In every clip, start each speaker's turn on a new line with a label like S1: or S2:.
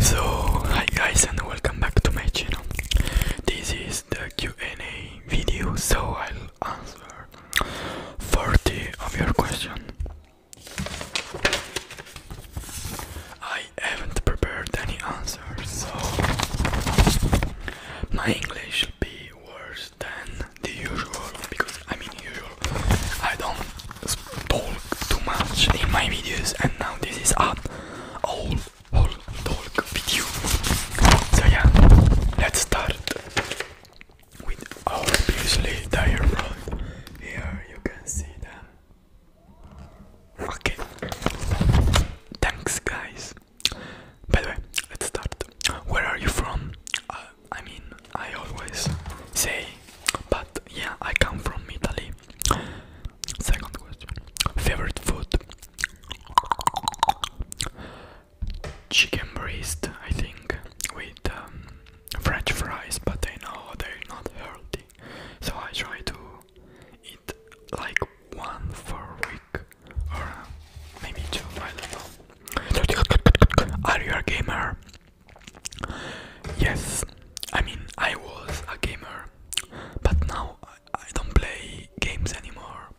S1: So hi guys and welcome back to my channel. This is the Q&A video, so I'll answer 40 of your questions. I haven't prepared any answers, so my English will be worse than the usual because I am mean usual I don't talk too much in my videos, and now this is an all whole talk video. So yeah, let's start with our obviously diagram. Here you can see them. Okay. Thanks, guys. By the way, let's start. Where are you from? Uh, I mean, I always say, but yeah, I come from Italy. Second question favorite food chicken breast, I think, with um, French fries, but I know they're not healthy, so I try to eat like one for a week or maybe two. I don't know. Are you a gamer? Yes, I mean, I was a gamer, but now I, don't play games anymore.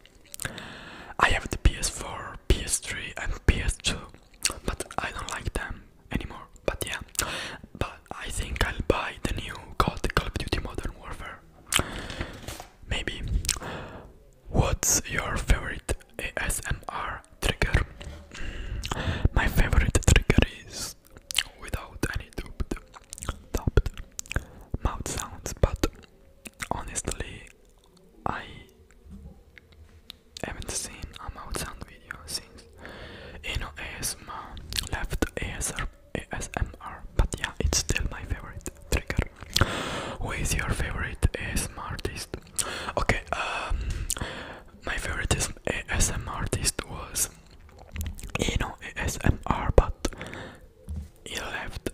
S1: I have the PS4, PS3, and PS2, but I don't like them anymore. But yeah, but I think I'll buy the new called Call of Duty Modern Warfare. Maybe. What's your favorite ASMR trigger. my favorite trigger is without any duped, dubbed mouth sounds, but honestly, I haven't seen a mouth sound video since Eno ASMR left ASR, ASMR, but yeah, it's still my favorite trigger. Who is your favorite ASMR artist? Okay, um, my favorite ASMR artist was Eno ASMR, but he left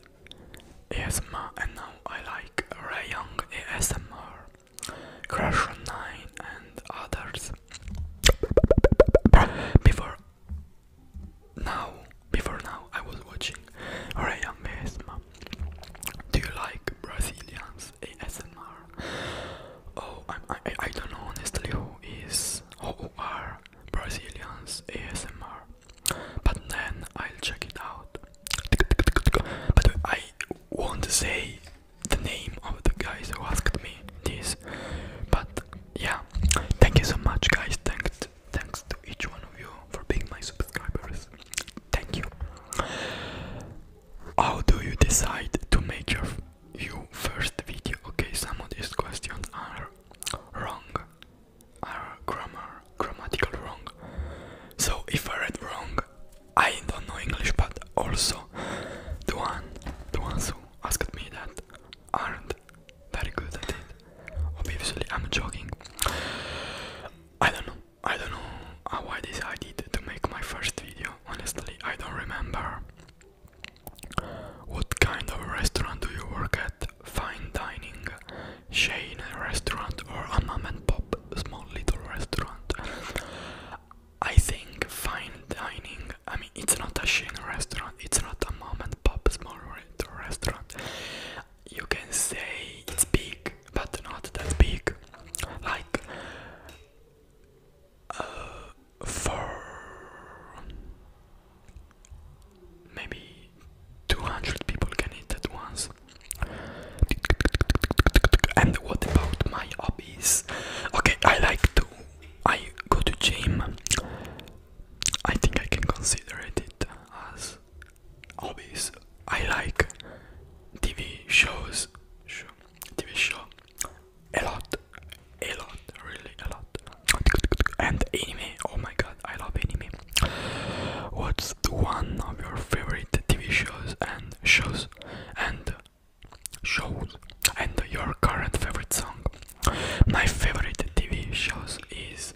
S1: ASMR and now I like Ray Young ASMR, Crash 9 and others. Before now, before now I was watching Ray Young ASMR. Do you like Brazilians? ASMR. Oh, i I don't know honestly who is, who are Brazilians ASMR, but then I'll check it out. But I won't say the name of the guys who asked me this, but yeah, thank you so much, guys. Thanks, thanks to each one of you for being my subscribers. Thank you. How do you decide to make your, your first video? Okay, some of these questions are wrong, are grammar, grammatical wrong. So if I read wrong, I don't know English, but also the one, the ones who asked me that aren't very good at it. Obviously, I'm joking. I don't know. I don't know how I decided to make my first video, honestly, I don't remember. What kind of restaurant do you work at? Fine dining, chain restaurant, or a mom and pop small little restaurant? I think fine dining, I mean, it's not a chain restaurant, it's not a mom and pop small restaurant. You can say it's big, but not that big, like uh, for maybe 200 people can eat at once. And what about my hobbies? Okay, I like to. I go to gym. I think I can consider it as hobbies. I like TV shows, show, TV show a lot, a lot, really a lot. And anime. Oh my god, I love anime. What's one of your favorite TV shows and shows and shows and your current favorite song? My favorite TV shows is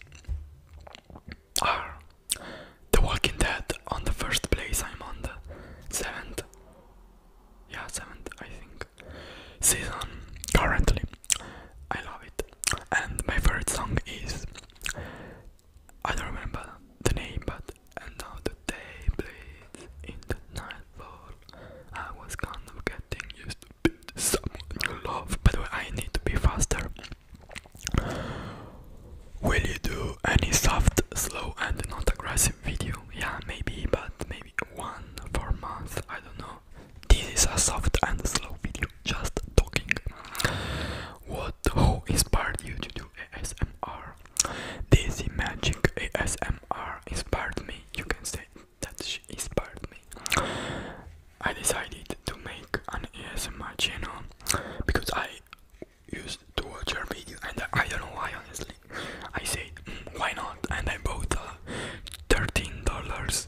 S1: are The Walking Dead on the first place. I'm on the seventh, yeah, seventh, I think, season currently. I love it, and my favorite song is I don't remember the name, but I was kind of getting used to be someone you I need to be faster. Will you do any soft, slow, and not aggressive video? Yeah, maybe, but maybe one for month. I don't know. This is a soft and slow video, just talking. What who inspired you to do ASMR? Daisy Magic ASMR inspired me. You can say that she inspired me. I decided to make an in my channel because I used to watch your video and I, don't know why honestly. I said mm, why not and I bought a uh, thirteen dollars.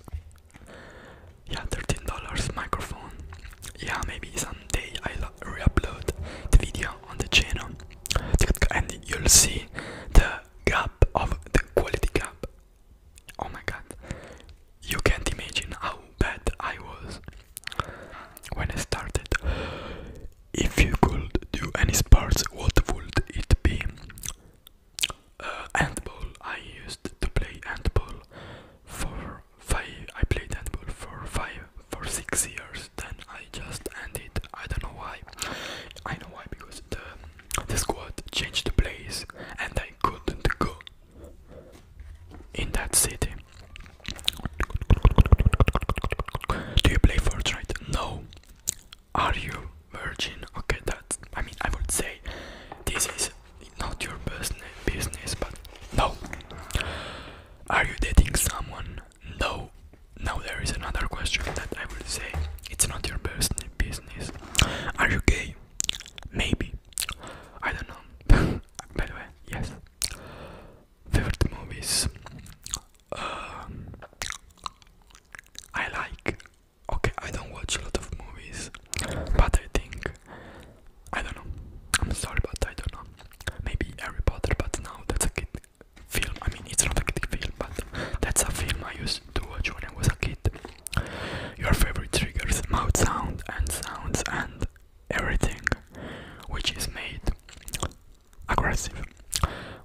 S1: Yeah, thirteen dollars microphone. Yeah, maybe someday I'll re-upload the video on the channel and you'll see the gap of the quality gap. Oh my god, you can't imagine how bad I was when I started. If you could do any sports, what would it be? Uh, handball. I used to play handball for five. I played handball for five, for six years. Then I just ended. I don't know why. I know why because the the squad changed the place and I couldn't go in that city. Do you play Fortnite? No. Are you virgin? Okay, that I mean I would say this is not your business business, but no. Are you dating someone? No. Now there is another question that I will say it's not your business business. Are you gay? Maybe. I don't know. By the way, yes. Favorite movies. Uh, I like. Okay, I don't watch a lot of movies, but I think I don't know. I'm sorry, but I don't know. Maybe Harry Potter, but now that's a kid film. I mean, it's not a kid film, but that's a film I used to watch when I was a kid your favorite triggers, mouth sound and sounds and everything which is made aggressive.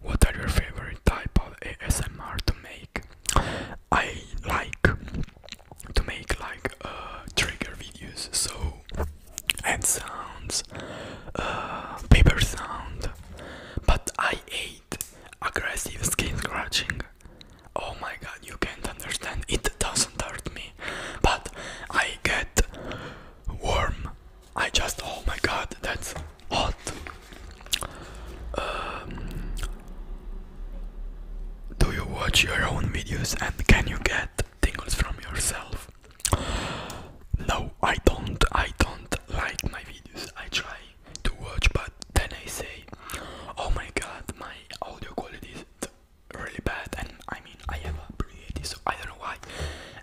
S1: What are your favorite type of ASMR to make? I like to make like uh, trigger videos, so hand sounds, uh, paper sound, but I hate aggressive skin scratching Oh my god, you can't understand. It doesn't hurt me, but I get warm. I just, oh my god, that's hot. Um, do you watch your own videos and can you get tingles from yourself? No, I don't. I don't like my videos. I try to watch, but then I say, oh my god, my audio quality is really bad, and I mean, I have a so I don't know why.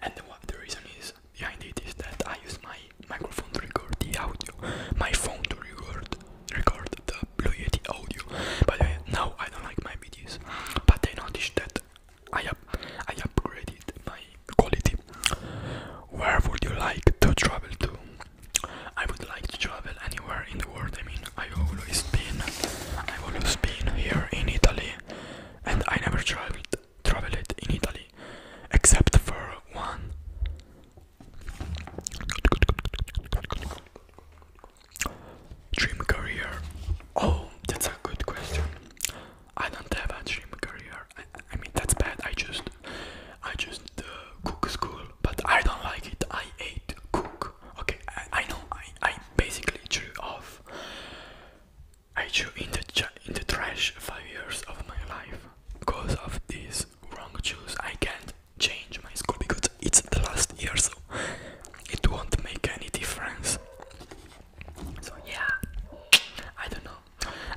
S1: And the reason is behind it is that I use my microphone to record the audio, my phone to record record the Blue Yeti audio. By the way, now I don't like my videos, but I noticed that I up I upgraded my quality. Where would you like to travel to? I would like to travel anywhere in the world. I mean, I always been, I've always been here in Italy, and I never traveled, traveled in Italy, except for one. Dream career. Oh, that's a good question. I don't have a dream career. I mean, that's bad. I just I just uh, cook school, but I don't like it. I hate cook. Okay, I, know. I I basically threw off. I chew in the in the trash five years of my life because of these wrong choices. I can't change my school because it's the last year, so it won't make any difference. So yeah, I don't know,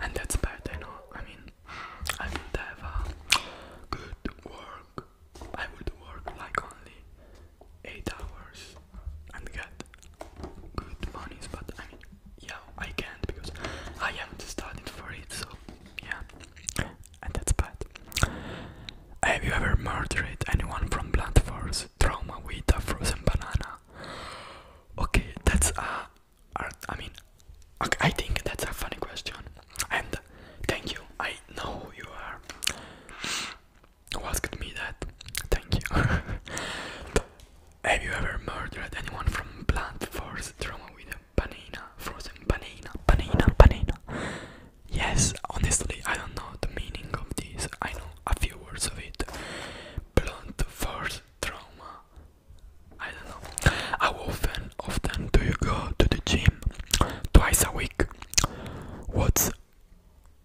S1: and that's bad. I know. I mean, I would have a good work. I would work like only eight hours and get good monies. But I mean, yeah, I can't because I haven't studied for it. So yeah, and that's bad. Have you ever murdered anyone from blunt force trauma with a frozen banana? Okay, that's a I mean I think that's a funny question and thank you I know you are asked me that thank you have you ever murdered anyone from blunt force trauma with a banana frozen banana banana banana yes honestly I don't know the meaning of this I know a few words of it blunt force trauma I don't know. How often, often do you go to the gym? Twice a week. What's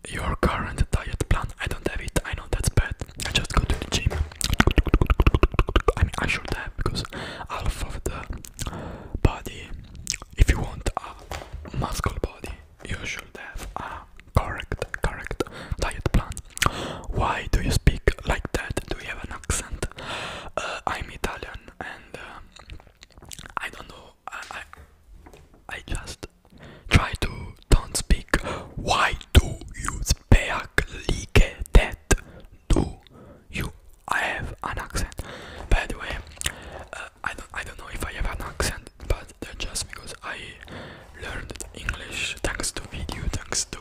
S1: your current diet plan? I don't have it. I know that's bad. I just go to the gym. I mean, I should have because half of the body. If you want a muscle body, you should have a correct, correct diet plan. Why do you speak like that? Do you have an accent? Uh, I'm Italian and uh, I don't know. I, I just try to don't speak. Why do you speak like that? Do you? I have an accent. By the way, uh, I don't I don't know if I have an accent, but that's just because I learned English thanks to video, thanks to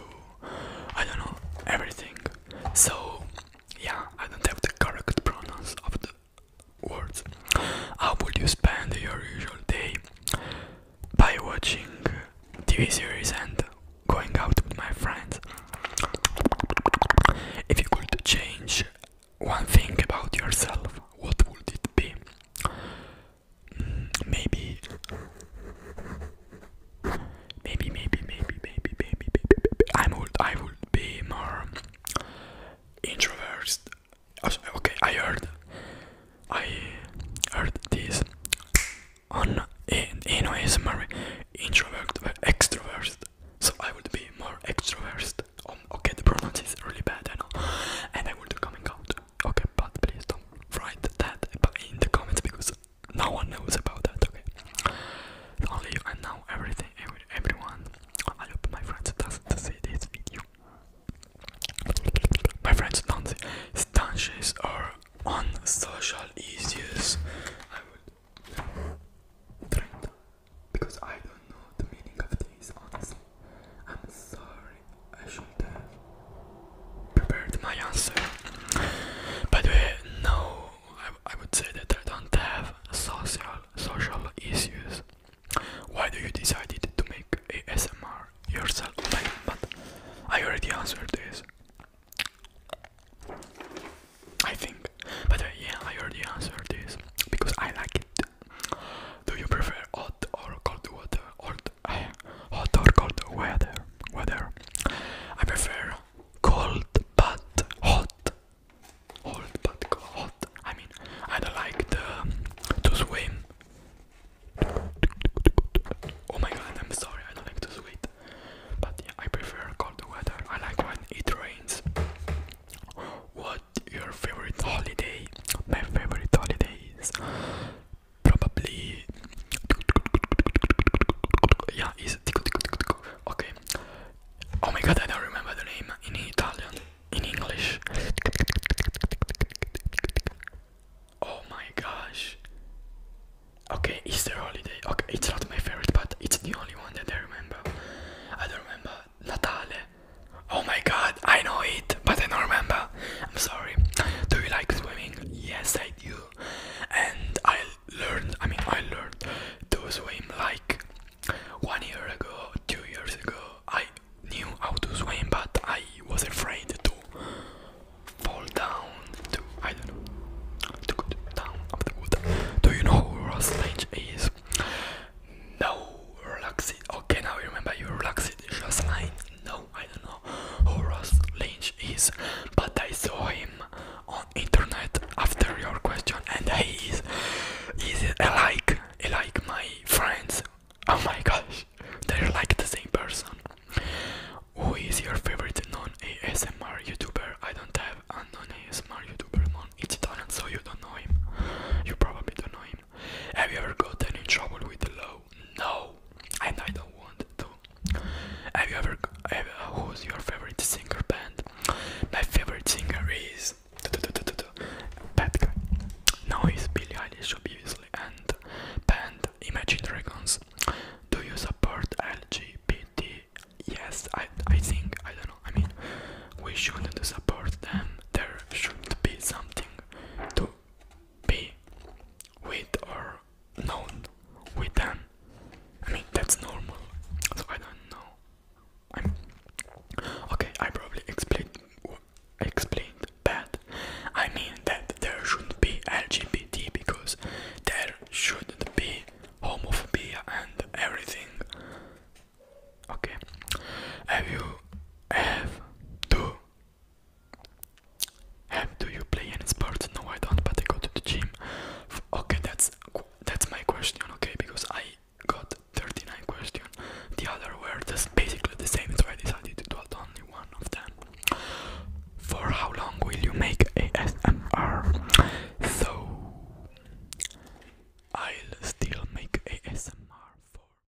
S1: I don't know everything. So yeah, I don't have the correct pronouns of the words. How would you spend your usual day? By watching TV series and going out with my friends. If you could change one thing about yourself, what would it be? Mm, maybe Maybe, maybe, maybe, maybe, maybe, maybe. I would, I would be more introverted. Oh, okay, I heard, I heard this on in in ASMR introvert extrovert. So I would be more extroverted. Um, okay, the pronunciation is really bad, I know, and I will would coming out. Okay, but please don't write that in the comments because no one knows about that, okay? Only you and everything, every, everyone. I hope my friends doesn't see this video. My friends don't stanches are on social issues. I would because I don't know the meaning of this honestly. I'm sorry. I should have uh, prepared my answer. but the no, I, I would say that I don't have social social issues. Why do you decided to make ASMR yourself? but I already answered this. I think. But uh, yeah, I already answered this because I like it. Do you prefer hot or cold water? hot, eh, hot or cold weather. Weather. I prefer cold but hot. Cold but hot. I mean, I don't like the, to swim. Oh my god, I'm sorry, I don't like to swim. But yeah, I prefer cold weather. I like when it rains. What your favorite holiday? My favorite holiday is probably yeah is okay oh my god I don't remember the name in Italian in English oh my gosh okay Easter holiday okay it's not my favorite but it's the only one that I remember I don't remember Natale oh my god I know it but I don't remember I'm sorry. Do you like swimming? Yes, I do. And I learned, I mean, I learned to swim like one year ago, two years ago. I knew how to swim, but I was afraid to fall down, to, I don't know, to go down of the water. Do you know who Ross Lynch is? No, relax it. Okay, now remember you relax it, just like no, I don't know who Ross Lynch is, but I saw him on internet after your question, and he is, is like, like my friends. Oh my gosh, they're like the same person. Who is your favorite non-ASMR YouTuber? I don't have a non-ASMR YouTuber, mon. Italian, so you don't know him. You probably don't know him. Have you ever gotten in trouble with the law? No, and I don't want to. Have you ever? Have, who's your favorite singer band? My favorite singer is Bad Guy. Now it's Billie Eilish, obviously, and band Imagine Dragons. Do you support LGBT? Yes, I, I think I don't know. I mean, we shouldn't support them. There should be something to be with or known with them. I mean, that's normal. So I don't know. I'm okay. I probably explained explained bad. I mean that there shouldn't be LGBT because there shouldn't be homophobia and everything. Okay. Have you have to do you play any sport? No, I don't. But I go to the gym. Okay, that's that's my question. Okay, because I got 39 questions. The other were just basically the same, so I decided to do only one of them. For how long will you make ASMR? So I'll still make ASMR for.